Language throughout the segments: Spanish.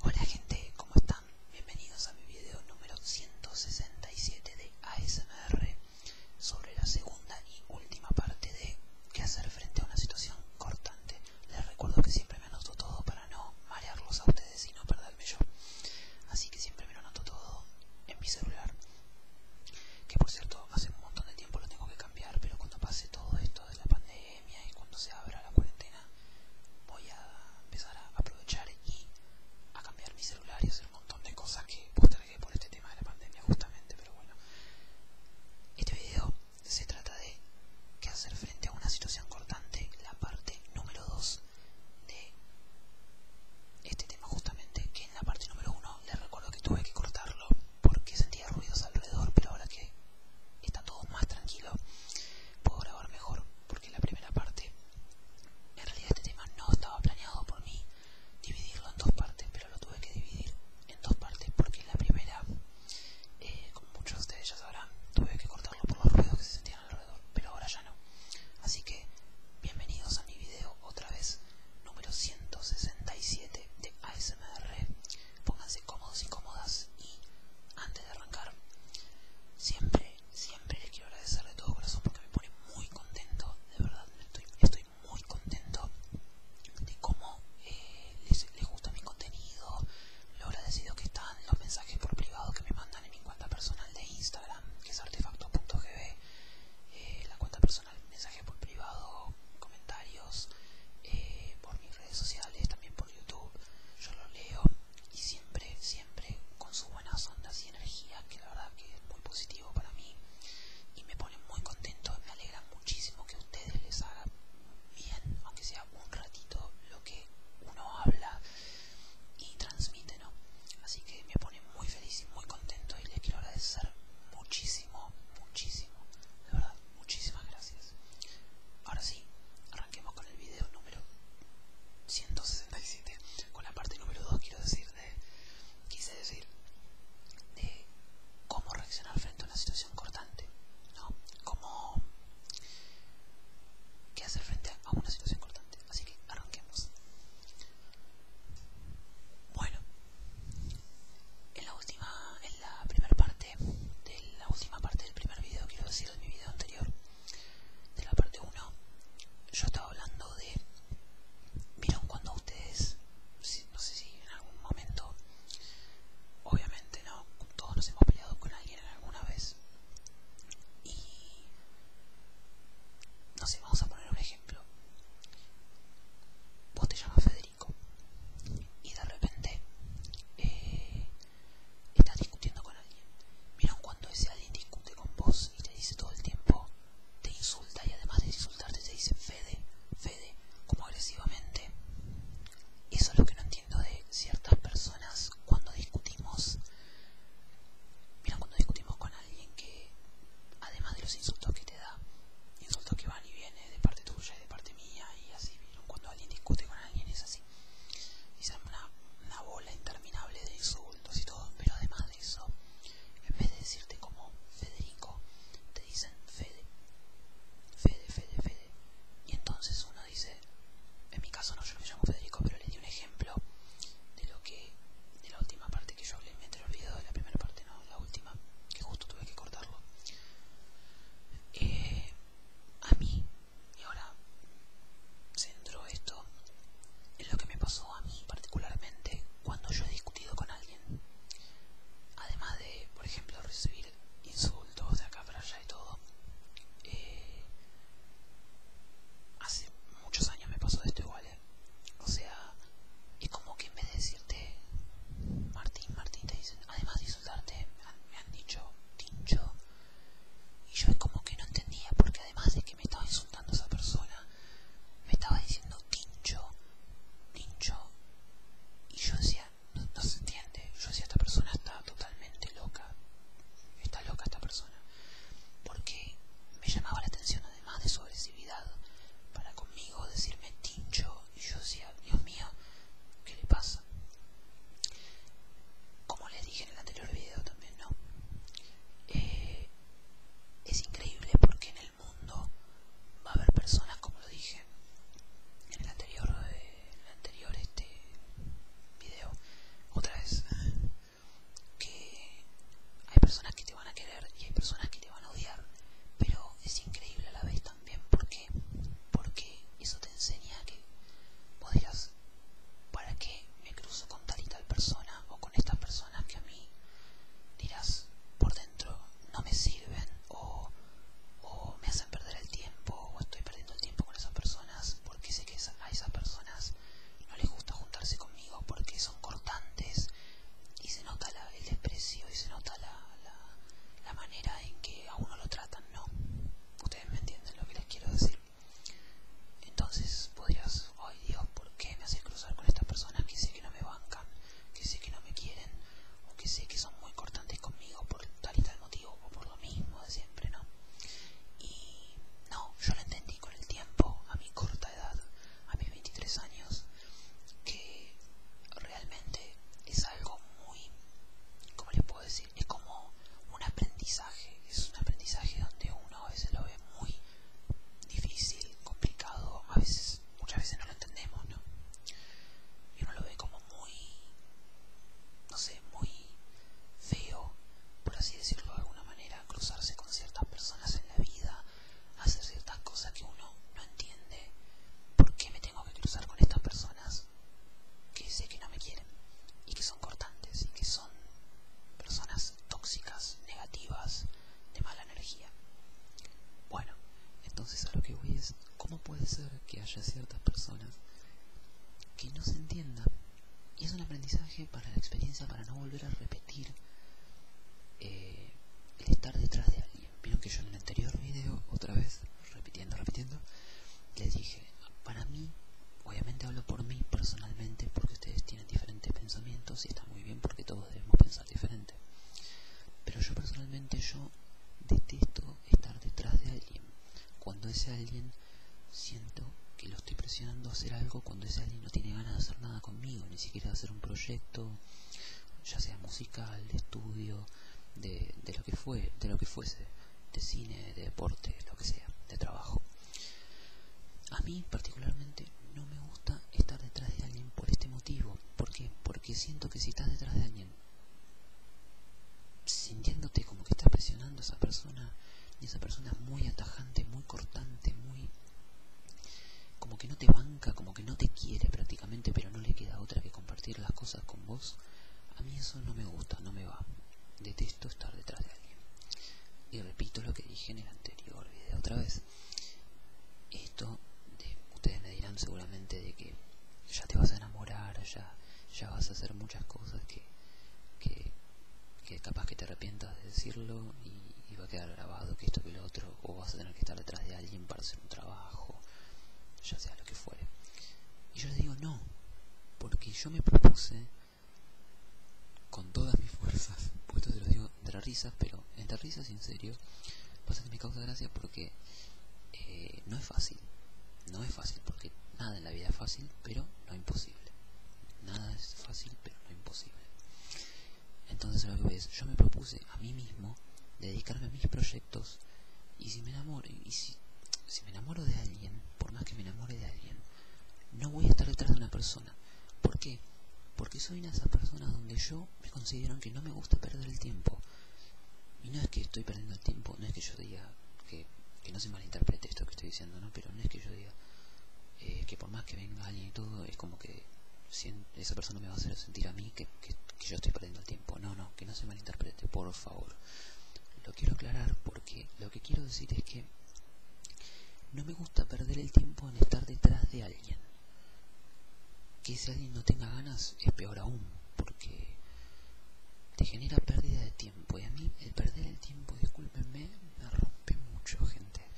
Hola gente, ¿cómo están? Bienvenidos a mi video número 167 de ASMR sobre la segunda y última parte de qué hacer frente a una situación cortante. Les recuerdo que siempre me anoto todo para no marearlos a ustedes y no perderme yo. Así que siempre me lo anoto todo en mi celular. Que por cierto, hace un montón de tiempo lo tengo que cambiar, pero cuando pase todo esto de la pandemia y cuando se abra la cuarentena voy a empezar a aprovechar y a cambiar mi celular y hacer un montón de cosas que postergué por este tema de la pandemia justamente, pero bueno. Este video se trata de qué hacer frente a una situación cortante, la parte número 2 de este tema justamente, que en la parte número 1 les recuerdo que tuve que cortarlo porque sentía ruidos alrededor, pero ahora que está todo más tranquilo, puedo grabar mejor, porque la primera parte, en realidad este tema no estaba planeado por mí dividirlo en dos partes, pero lo tuve que dividir en dos partes, porque la primera, eh, como muchos de ustedes ya sabrán, tuve que cortarlo por los ruidos que se sentían alrededor, pero ahora ya no. Así que, bienvenidos a mi video otra vez, número 167 de ASMR pónganse cómodos y cómodas y antes de arrancar siempre siempre les quiero agradecer de todo corazón porque me pone muy contento de verdad estoy, muy contento de cómo eh, les, gusta mi contenido lo agradecido que están los mensajes por privado que me mandan en mi cuenta personal de Instagram que es artefacto.gb eh, la cuenta personal mensaje por privado comentarios eh, por mis redes sociales, también por YouTube. Yo lo leo y siempre, siempre con sus buenas ondas y energía, que la verdad que es muy positivo para mí y me pone muy contento. Me alegra muchísimo que ustedes les haga bien, aunque sea un ratito, lo que uno habla y transmite, ¿no? Así que me pone muy feliz y muy contento y les quiero agradecer muchísimo, muchísimo, de verdad. Muchísimas gracias. Ahora sí, arranquemos con el video número 167. Con la parte número 2 quiero decir de, quise decir de cómo reaccionar frente a una situación cortante, ¿no? Cómo qué hacer frente a una situación cortante. Así que arranquemos. Bueno, en la última, la primera parte, de la última parte del primer video, quiero decir, de mi video anterior, de la parte 1, yo estaba hablando de. ¿Vieron cuando ustedes.? No sé si en algún momento. Obviamente, ¿no? Todos nos hemos peleado con alguien alguna vez. Y. No sé, vamos a poner un ejemplo. Vos te llamas Federico y de repente eh, estás discutiendo con alguien. miran cuando ese alguien discute con vos y te dice todo el tiempo, te insulta y además de insultarte te dice Fede, Fede, como agresivamente? Eso es lo que no entiendo de ciertas personas cuando discutimos. Mira cuando discutimos con alguien que, además de los insultos que te Insultos que van y vienen de parte tuya y de parte mía y así. Cuando alguien discute con alguien es así. Y se una, una bola interminable de insultos y todo. Pero además de eso, en vez de decirte como Federico, te dicen Fede. Fede, Fede, Fede. Y entonces uno dice, en mi caso no, yo me llamo Federico, pero le di un ejemplo de lo que, de la última parte que yo le me se me olvidó de la primera parte, no, la última, que justo tuve que cortarlo. Eh, a mí, y ahora centro esto en lo que me pasó a mí particularmente cuando yo he discutido con alguien. Además de, por ejemplo, recibir insultos de acá para allá y todo. Eh, hace muchos años me pasó esto igual, eh. O sea, y como que en vez de decirte Martín, Martín te dicen, además de insultarte, me han dicho tincho y yo es como que no entendía porque además de que me estaba insultando esa persona, me estaba diciendo tincho, tincho y yo decía, no, no se entiende, yo decía esta persona está totalmente loca, está loca esta persona porque me llamaba la atención además de su agresividad, para conmigo decirme tincho y yo decía, Dios mío, ¿qué le pasa? Como les dije en el anterior video también, ¿no? Eh, es increíble porque en el mundo va a haber personas, como lo dije en el anterior, eh, anterior este video, otra vez, que hay personas que van a querer y hay personas que te van a odiar, pero es increíble a la vez también porque porque eso te enseña que podrías ¿para qué me cruzo con tal y tal persona o con estas personas que a mí dirás por dentro no me sirven o me hacen perder el tiempo o estoy perdiendo el tiempo con esas personas porque sé que a esas personas no les gusta juntarse conmigo porque son cortantes y se nota el desprecio y se nota la, la manera en que a uno lo tratan, ¿no? Ustedes me entienden lo que les quiero decir. Entonces podrías, ay Dios, ¿por qué me haces cruzar con estas personas que sé que no me bancan, que sé que no me quieren, o que sé que son muy cortantes conmigo por tal y tal motivo, o por lo mismo de siempre, ¿no? Y no, yo lo entendí con el tiempo, a mi corta edad, a mis 23 años que realmente es algo muy, ¿cómo les puedo decir? Es como un aprendizaje, es un aprendizaje donde uno a veces lo ve muy difícil, complicado, a veces, muchas veces no lo entendemos, ¿no? Y uno lo ve como muy, no sé, muy feo, por así decirlo de alguna manera, cruzarse con ciertas personas en la vida hacer ciertas cosas que uno no entiende por qué me tengo que cruzar con estas personas que sé que no me quieren y que son cortantes y que son personas tóxicas, negativas, de mala energía. Bueno, entonces a lo que voy es, ¿cómo puede ser que haya ciertas personas que no se entiendan? Y es un aprendizaje para la experiencia, para no volver a repetir eh, estar detrás de alguien. Vieron que yo en el anterior video, otra vez, repitiendo, repitiendo, les dije, para mí, obviamente hablo por mí personalmente, porque ustedes tienen diferentes pensamientos y está muy bien porque todos debemos pensar diferente. Pero yo personalmente, yo detesto estar detrás de alguien. Cuando ese alguien siento que lo estoy presionando a hacer algo, cuando ese alguien no tiene ganas de hacer nada conmigo, ni siquiera de hacer un proyecto, ya sea musical, de estudio, de, lo que fue, de lo que fuese, de cine, de deporte, lo que sea, de trabajo. A mí particularmente no me gusta estar detrás de alguien por este motivo. ¿Por Porque siento que si estás detrás de alguien, sintiéndote como que estás presionando a esa persona, y esa persona es muy atajante, muy cortante, muy como que no te banca, como que no te quiere prácticamente, pero no le queda otra que compartir las cosas con vos, a mí eso no me gusta, no me va. Detesto estar detrás de alguien. Y repito lo que dije en el anterior video otra vez. Esto, de, ustedes me dirán seguramente de que ya te vas a enamorar, ya, ya vas a hacer muchas cosas que, que capaz que te arrepientas de decirlo y, va a quedar grabado que esto que lo otro, o vas a tener que estar detrás de alguien para hacer un trabajo, ya sea lo que fuere. Y yo les digo no, porque yo me propuse con todas mis fuerzas, puesto esto los digo entre risas, pero entre risas en serio, pasa que me causa gracia porque eh, no es fácil, no es fácil, porque nada en la vida es fácil, pero no imposible. Nada es fácil, pero no imposible. Entonces lo que ves, yo me propuse a mí mismo dedicarme a mis proyectos y si me enamoro, y si, me enamoro de alguien, por más que me enamore de alguien, no voy a estar detrás de una persona. ¿Por qué? Porque soy una de esas personas donde yo me considero que no me gusta perder el tiempo. Y no es que estoy perdiendo el tiempo, no es que yo diga que, no se malinterprete esto que estoy diciendo, ¿no? Pero no es que yo eh, que por más que venga alguien y todo, es como que esa persona me va a hacer sentir a mí que, yo estoy perdiendo el tiempo. No, no, que no se malinterprete, por favor. Lo quiero aclarar porque lo que quiero decir es que no me gusta perder el tiempo en estar detrás de alguien. Que si alguien no tenga ganas es peor aún, porque te genera pérdida de tiempo. Y a mí el perder el tiempo, discúlpenme, me rompe mucho, gente. Este,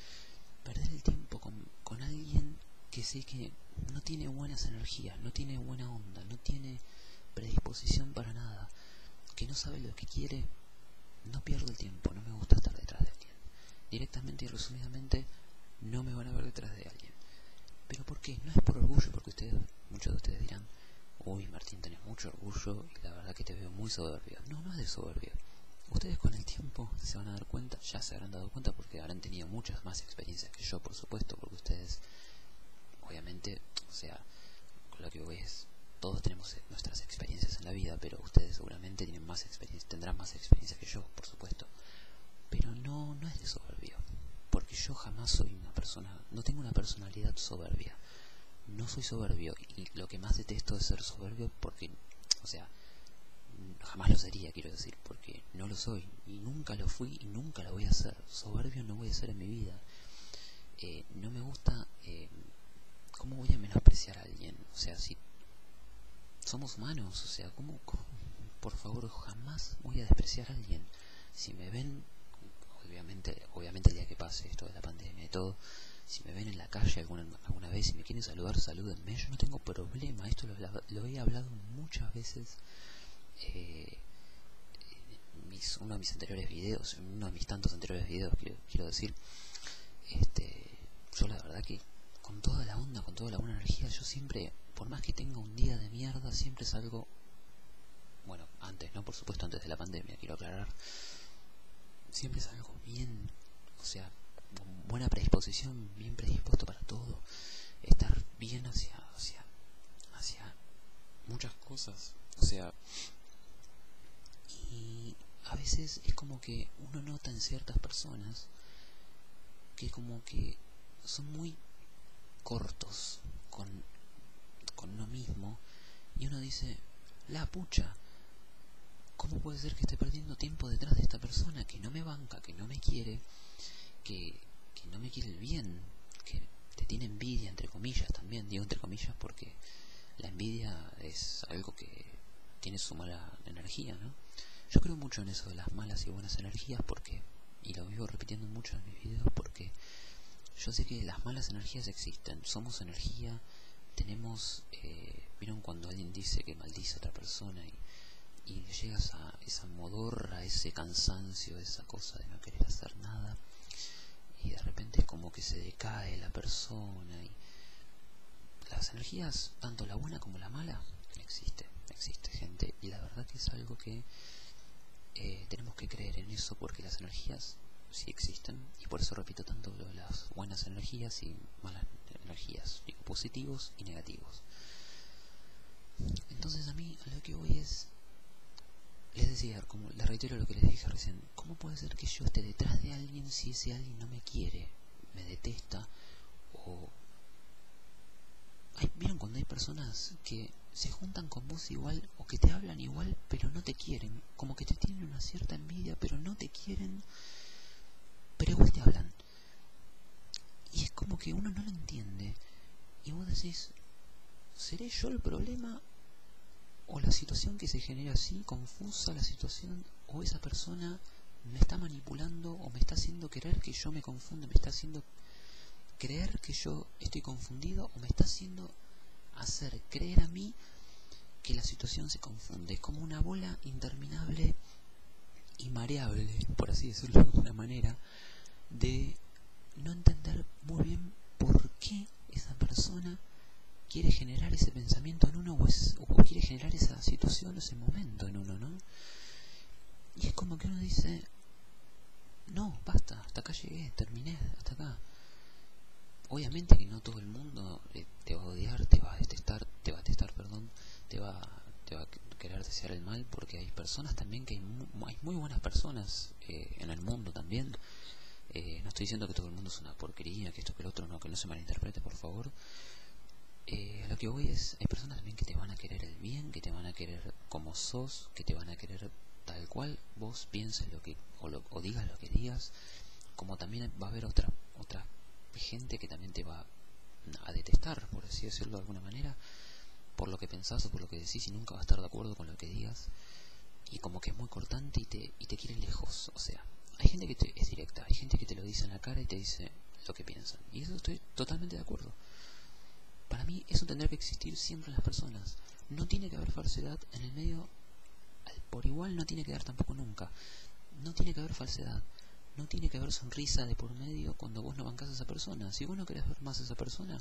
perder el tiempo con, alguien que sé que no tiene buenas energías, no tiene buena onda, no tiene predisposición para nada, que no sabe lo que quiere, no pierdo el tiempo, no me gusta estar detrás de alguien. Directamente y resumidamente, no me van a ver detrás de alguien. ¿Pero por qué? No es por orgullo, porque ustedes, muchos de ustedes dirán, uy Martín, tenés mucho orgullo y la verdad que te veo muy soberbio. No, no es de soberbio. Ustedes con el tiempo se van a dar cuenta, ya se habrán dado cuenta porque habrán tenido muchas más experiencias que yo, por supuesto, porque ustedes, obviamente, o sea, lo que ves todos tenemos eh, nuestras experiencias en la vida, pero ustedes seguramente tienen más tendrán más experiencia que yo, por supuesto. Pero no, no es de soberbio, porque yo jamás soy una persona, no tengo una personalidad soberbia. No soy soberbio y lo que más detesto es ser soberbio porque, o sea, jamás lo sería, quiero decir, porque no lo soy y nunca lo fui y nunca lo voy a hacer Soberbio no voy a ser en mi vida. Eh, no me gusta... Eh, ¿Cómo voy a menospreciar a alguien? O sea, si somos humanos, o sea, ¿cómo, Por favor, jamás voy a despreciar a alguien. Si me ven, obviamente, obviamente el día que pase esto de la pandemia y todo, si me ven en la calle alguna alguna vez, si me quieren saludar, salúdenme. Yo no tengo problema, esto lo, he hablado muchas veces en eh, uno de mis anteriores videos, en uno de mis tantos anteriores videos, quiero, decir. Este, yo la verdad que con toda la onda, con toda la buena energía, yo siempre, por más que tenga un día de mierda, siempre algo bueno, antes, ¿no? Por supuesto, antes de la pandemia, quiero aclarar, siempre salgo bien, o sea, buena predisposición, bien predispuesto para todo, estar bien hacia, muchas cosas, o sea, y a veces es como que uno nota en ciertas personas que como que son muy cortos con, con uno mismo y uno dice, la pucha, ¿Cómo puede ser que esté perdiendo tiempo detrás de esta persona que no me banca, que no me quiere, que, no me quiere el bien, que te tiene envidia, entre comillas también, digo entre comillas porque la envidia es algo que tiene su mala energía, ¿no? Yo creo mucho en eso de las malas y buenas energías porque, y lo vivo repitiendo mucho en mis videos porque yo sé que las malas energías existen, somos energía, tenemos, eh, vieron cuando alguien dice que maldice a otra persona y, llegas a esa modorra, ese cansancio, esa cosa de no querer hacer nada y de repente como que se decae la persona y las energías, tanto la buena como la mala, existe, existe gente y la verdad que es algo que eh, tenemos que creer en eso porque las energías si existen, y por eso repito tanto las buenas energías y malas energías, digo, positivos y negativos. Entonces a mí lo que voy es, les decir, como les reitero lo que les dije recién, ¿cómo puede ser que yo esté detrás de alguien si ese alguien no me quiere, me detesta o... ¿Vieron cuando hay personas que se juntan con vos igual o que te hablan igual pero no te quieren? Como que tienen una cierta envidia, pero no te quieren, pero igual te hablan. Y es como que uno no lo entiende. Y vos decís, ¿seré yo el problema? ¿O la situación que se genera así, confusa la situación? ¿O esa persona me está manipulando o me está haciendo creer que yo me confunda? ¿Me está haciendo creer que yo estoy confundido? ¿O me está haciendo hacer creer a mí que la situación se confunde, es como una bola interminable y mareable, por así decirlo de una manera, de no entender muy bien por qué esa persona quiere generar ese pensamiento en uno o, o quiere generar esa situación o ese momento en uno, ¿no? Y es como que uno dice, no, basta, hasta acá llegué, terminé, hasta acá. Obviamente que no todo el mundo eh, te va a odiar, te va a detestar, te va a detestar, perdón, te va, a querer desear el mal, porque hay personas también que hay muy, buenas personas eh, en el mundo también. Eh, no estoy diciendo que todo el mundo es una porquería, que esto que el otro, no, que no se malinterprete, por favor. lo que voy es, hay personas también que te van a querer el bien, que te van a querer como sos, que te van a querer tal cual vos pienses lo que o, digas lo que digas, como también va a haber otra otra gente que también te va a detestar, por así decirlo de alguna manera, por lo que pensás o por lo que decís y nunca va a estar de acuerdo con lo que digas. Y como que es muy cortante y te, y quiere lejos. O sea, hay gente que es directa, hay gente que te lo dice en la cara y te dice lo que piensan. Y eso estoy totalmente de acuerdo. Para mí eso tendrá que existir siempre en las personas. No tiene que haber falsedad en el medio, por igual no tiene que dar tampoco nunca. No tiene que haber falsedad. No tiene que haber sonrisa de por medio cuando vos no bancas a esa persona. Si vos no querés ver más a esa persona,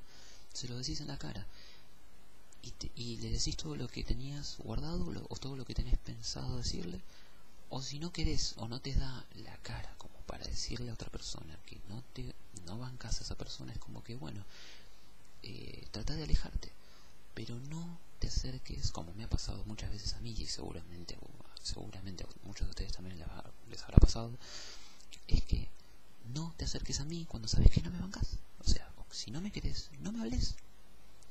se lo decís en la cara. Y, le decís todo lo que tenías guardado o todo lo que tenés pensado decirle. O si no querés o no te da la cara como para decirle a otra persona que no te no bancas a esa persona, es como que bueno, eh, trata de alejarte, pero no te acerques, como me ha pasado muchas veces a mí y seguramente, seguramente a muchos de ustedes también les, habrá pasado, es que no te acerques a mí cuando sabes que no me bancas. O sea, si no me querés, no me hables.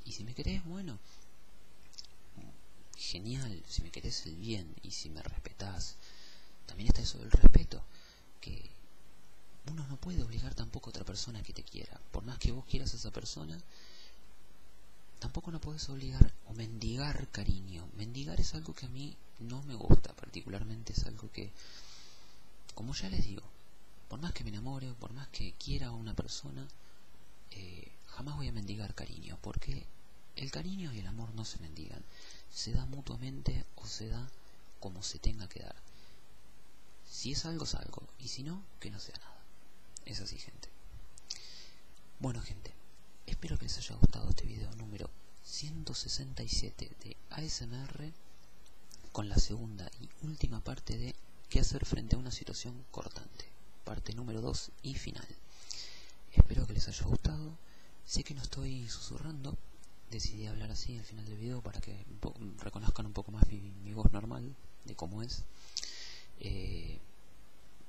Y si me querés, bueno, genial. Si me querés el bien y si me respetás, también está eso del respeto que uno no puede obligar tampoco a otra persona que te quiera. Por más que vos quieras a esa persona, tampoco no puedes obligar o mendigar cariño. Mendigar es algo que a mí no me gusta, particularmente es algo que, como ya les digo, por más que me enamore, por más que quiera a una persona, eh, jamás voy a mendigar cariño, porque el cariño y el amor no se mendigan, se da mutuamente o se da como se tenga que dar. Si es algo, es algo, y si no, que no sea nada. Es así, gente. Bueno, gente, espero que les haya gustado este video número 167 de ASMR con la segunda y última parte de qué hacer frente a una situación cortante, parte número 2 y final. Espero que les haya gustado Sé que no estoy susurrando, decidí hablar así al final del video para que reconozcan un poco más mi, voz normal, de cómo es, eh,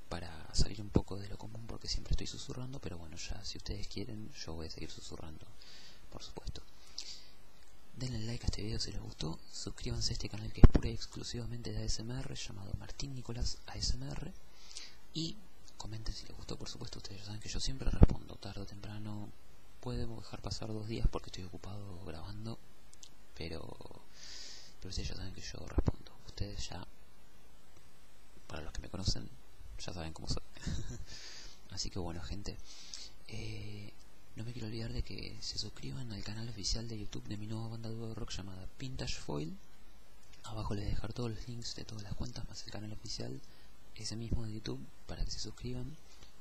para salir un poco de lo común porque siempre estoy susurrando, pero bueno, ya si ustedes quieren yo voy a seguir susurrando, por supuesto. Denle like a este video si les gustó, suscríbanse a este canal que es pura y exclusivamente de ASMR, llamado Martín Nicolás ASMR, y comenten si les gustó, por supuesto, ustedes ya saben que yo siempre respondo tarde o temprano. Puedo dejar pasar dos días porque estoy ocupado grabando, pero, pero si ya saben que yo respondo. Ustedes ya, para los que me conocen, ya saben cómo soy. Así que bueno, gente, eh, no me quiero olvidar de que se suscriban al canal oficial de YouTube de mi nueva banda de rock llamada Pintashfoil Foil. Abajo les dejar todos los links de todas las cuentas más el canal oficial ese mismo de YouTube para que se suscriban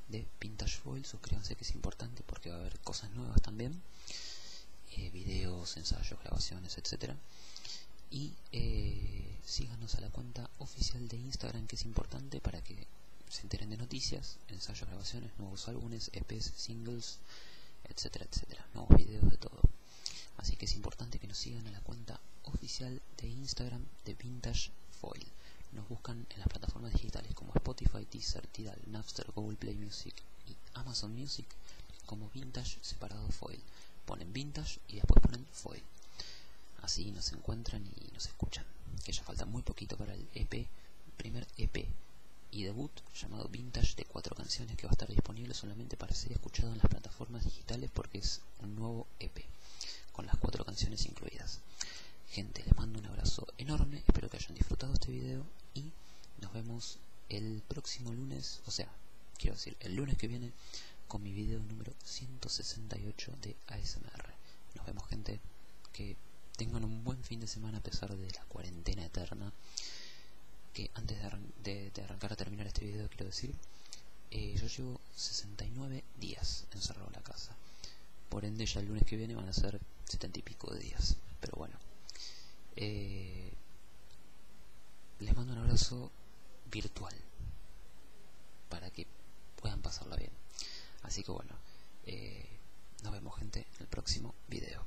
de Vintage Foil. Suscríbanse que es importante porque va a haber cosas nuevas también. Eh, videos, ensayos, grabaciones, etcétera Y eh, síganos a la cuenta oficial de Instagram que es importante para que se enteren de noticias, ensayos, grabaciones, nuevos álbumes, EPs, singles, etcétera, etcétera. Nuevos videos de todo. Así que es importante que nos sigan en la cuenta oficial de Instagram de Vintage Foil. Nos buscan en las plataformas digitales como Spotify, Deezer, Tidal, Napster, Google Play Music y Amazon Music como Vintage separado Foil. Ponen Vintage y después ponen Foil. Así nos encuentran y nos escuchan. Que ya falta muy poquito para el EP, primer EP y debut llamado Vintage de cuatro canciones que va a estar disponible solamente para ser escuchado en las plataformas formas digitales porque es un nuevo EP con las cuatro canciones incluidas. Gente, les mando un abrazo enorme, espero que hayan disfrutado este video y nos vemos el próximo lunes, o sea, quiero decir, el lunes que viene con mi video número 168 de ASMR. Nos vemos gente, que tengan un buen fin de semana a pesar de la cuarentena eterna. Que antes de, arrancar a terminar este video quiero decir, eh, yo llevo 69 días encerrado en la casa. Por ende, ya el lunes que viene van a ser 70 y pico de días. Pero bueno. Eh, les mando un abrazo virtual para que puedan pasarla bien. Así que bueno, eh, nos vemos gente en el próximo video.